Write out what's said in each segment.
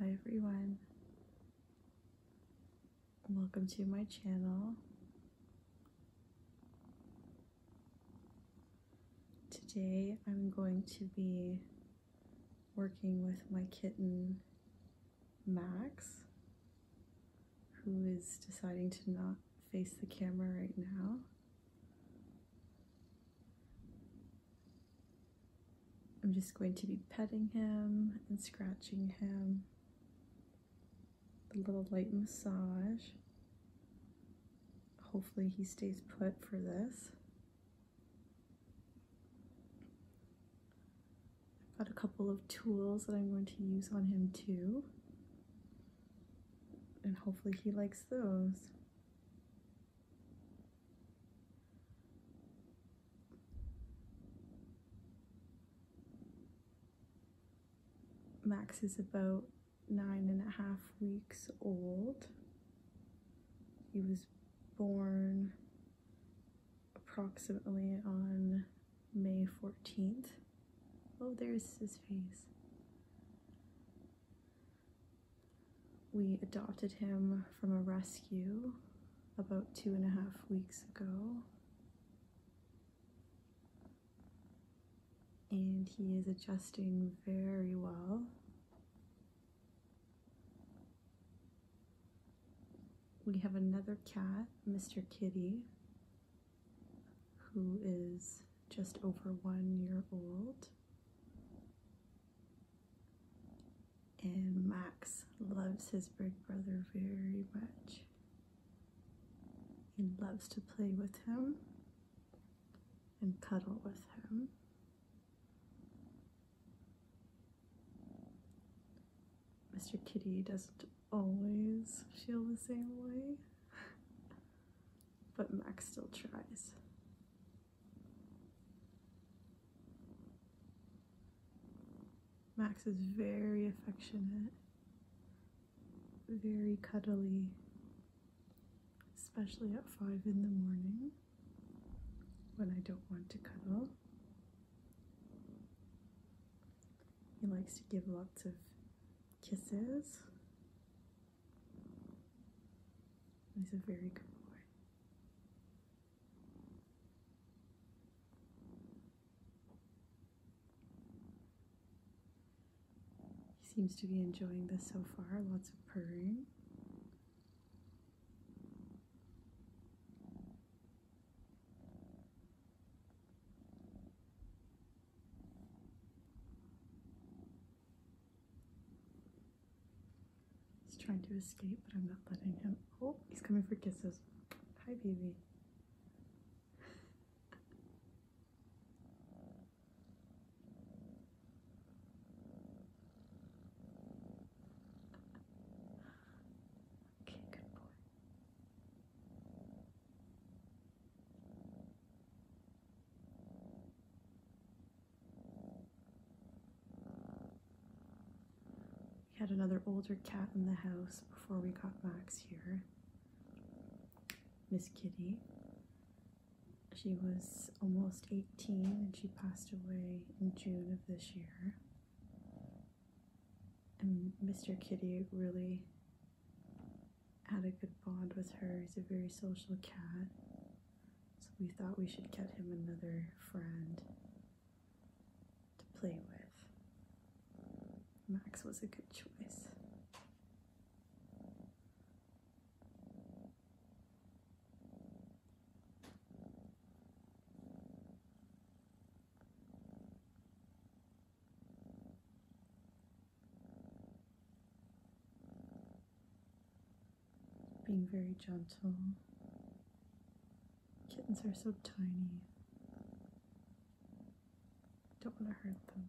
Hi everyone, welcome to my channel. Today I'm going to be working with my kitten Max who is deciding to not face the camera right now. I'm just going to be petting him and scratching him. A little light massage. Hopefully he stays put for this. I've got a couple of tools that I'm going to use on him too. And hopefully he likes those. Max is about nine and a half weeks old. He was born approximately on May 14th. Oh, there's his face. We adopted him from a rescue about two and a half weeks ago. And he is adjusting very well. We have another cat, Mr. Kitty, who is just over one year old. And Max loves his big brother very much. He loves to play with him and cuddle with him. Mr. Kitty doesn't always feel the same way, but Max still tries. Max is very affectionate, very cuddly, especially at 5 in the morning when I don't want to cuddle. He likes to give lots of kisses. He's a very good boy. He seems to be enjoying this so far, lots of purring. He's trying to escape, but I'm not letting him. Oh, he's coming for kisses. Hi, baby. Okay, good boy. We had another older cat in the house before we got Max here. Miss Kitty. She was almost 18 18 and she passed away in June of this year. And Mr. Kitty really had a good bond with her. He's a very social cat. So we thought we should get him another friend to play with. Max was a good choice. Being very gentle. Kittens are so tiny. Don't want to hurt them.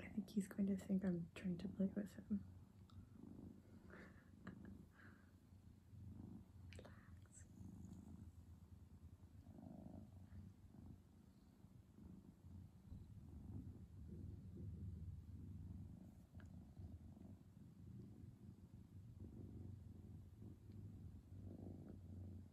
I think he's going to think I'm trying to play with him.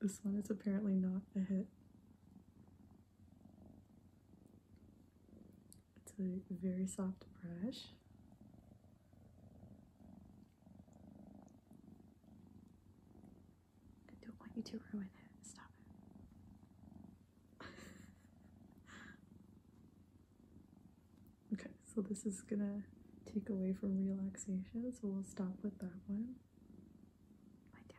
This one is apparently not a hit. It's a very soft brush. don't want you to ruin it. Stop it. okay, so this is gonna take away from relaxation, so we'll stop with that one. Lie down.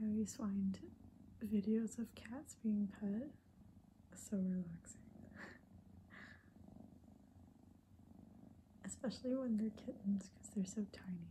I always find videos of cats being pet so relaxing. Especially when they're kittens because they're so tiny.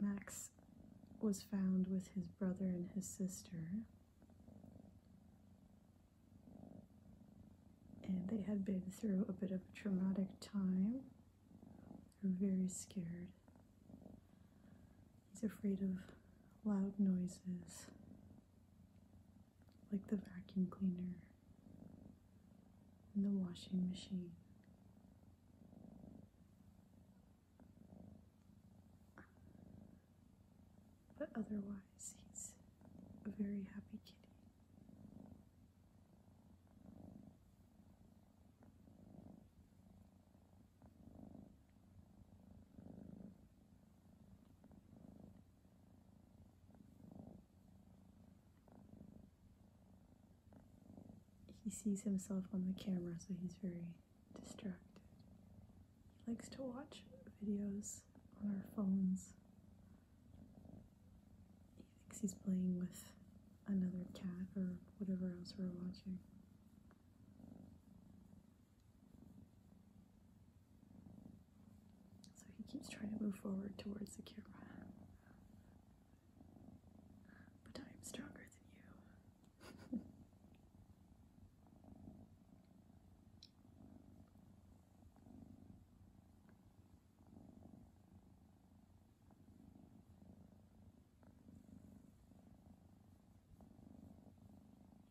Max was found with his brother and his sister, and they had been through a bit of a traumatic time. They're very scared. He's afraid of loud noises like the vacuum cleaner and the washing machine. But otherwise, he's a very happy kitty. He sees himself on the camera, so he's very distracted. He likes to watch videos on our phones. He thinks he's playing with another cat or whatever else we're watching. So he keeps trying to move forward towards the camera. But I am stronger than you.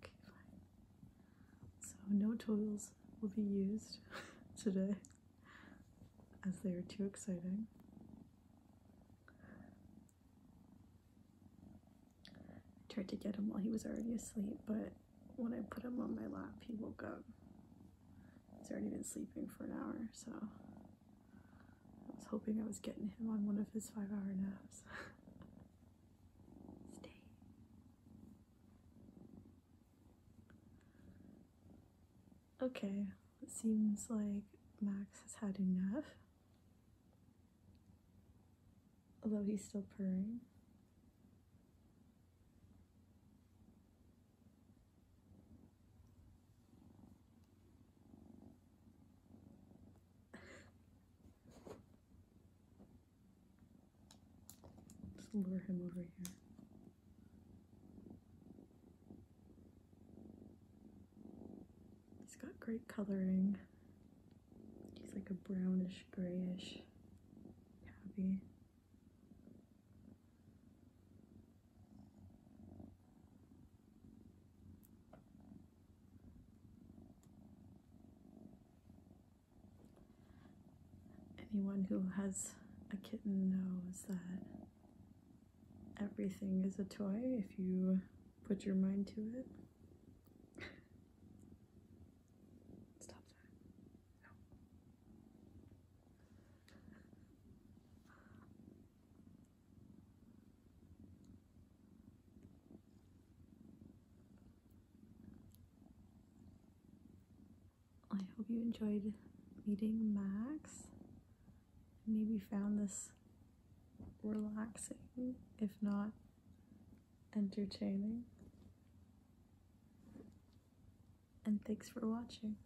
Okay, fine. So, no toys will be used today as they are too exciting. I tried to get him while he was already asleep, but when I put him on my lap, he woke up. He's already been sleeping for an hour, so I was hoping I was getting him on one of his five hour naps. Stay. Okay, it seems like Max has had enough. Although he's still purring. Just lure him over here. He's got great coloring. He's like a brownish, grayish tabby. Anyone who has a kitten knows that everything is a toy if you put your mind to it. Stop that. I hope you enjoyed meeting Max. Maybe found this relaxing, if not entertaining. And thanks for watching.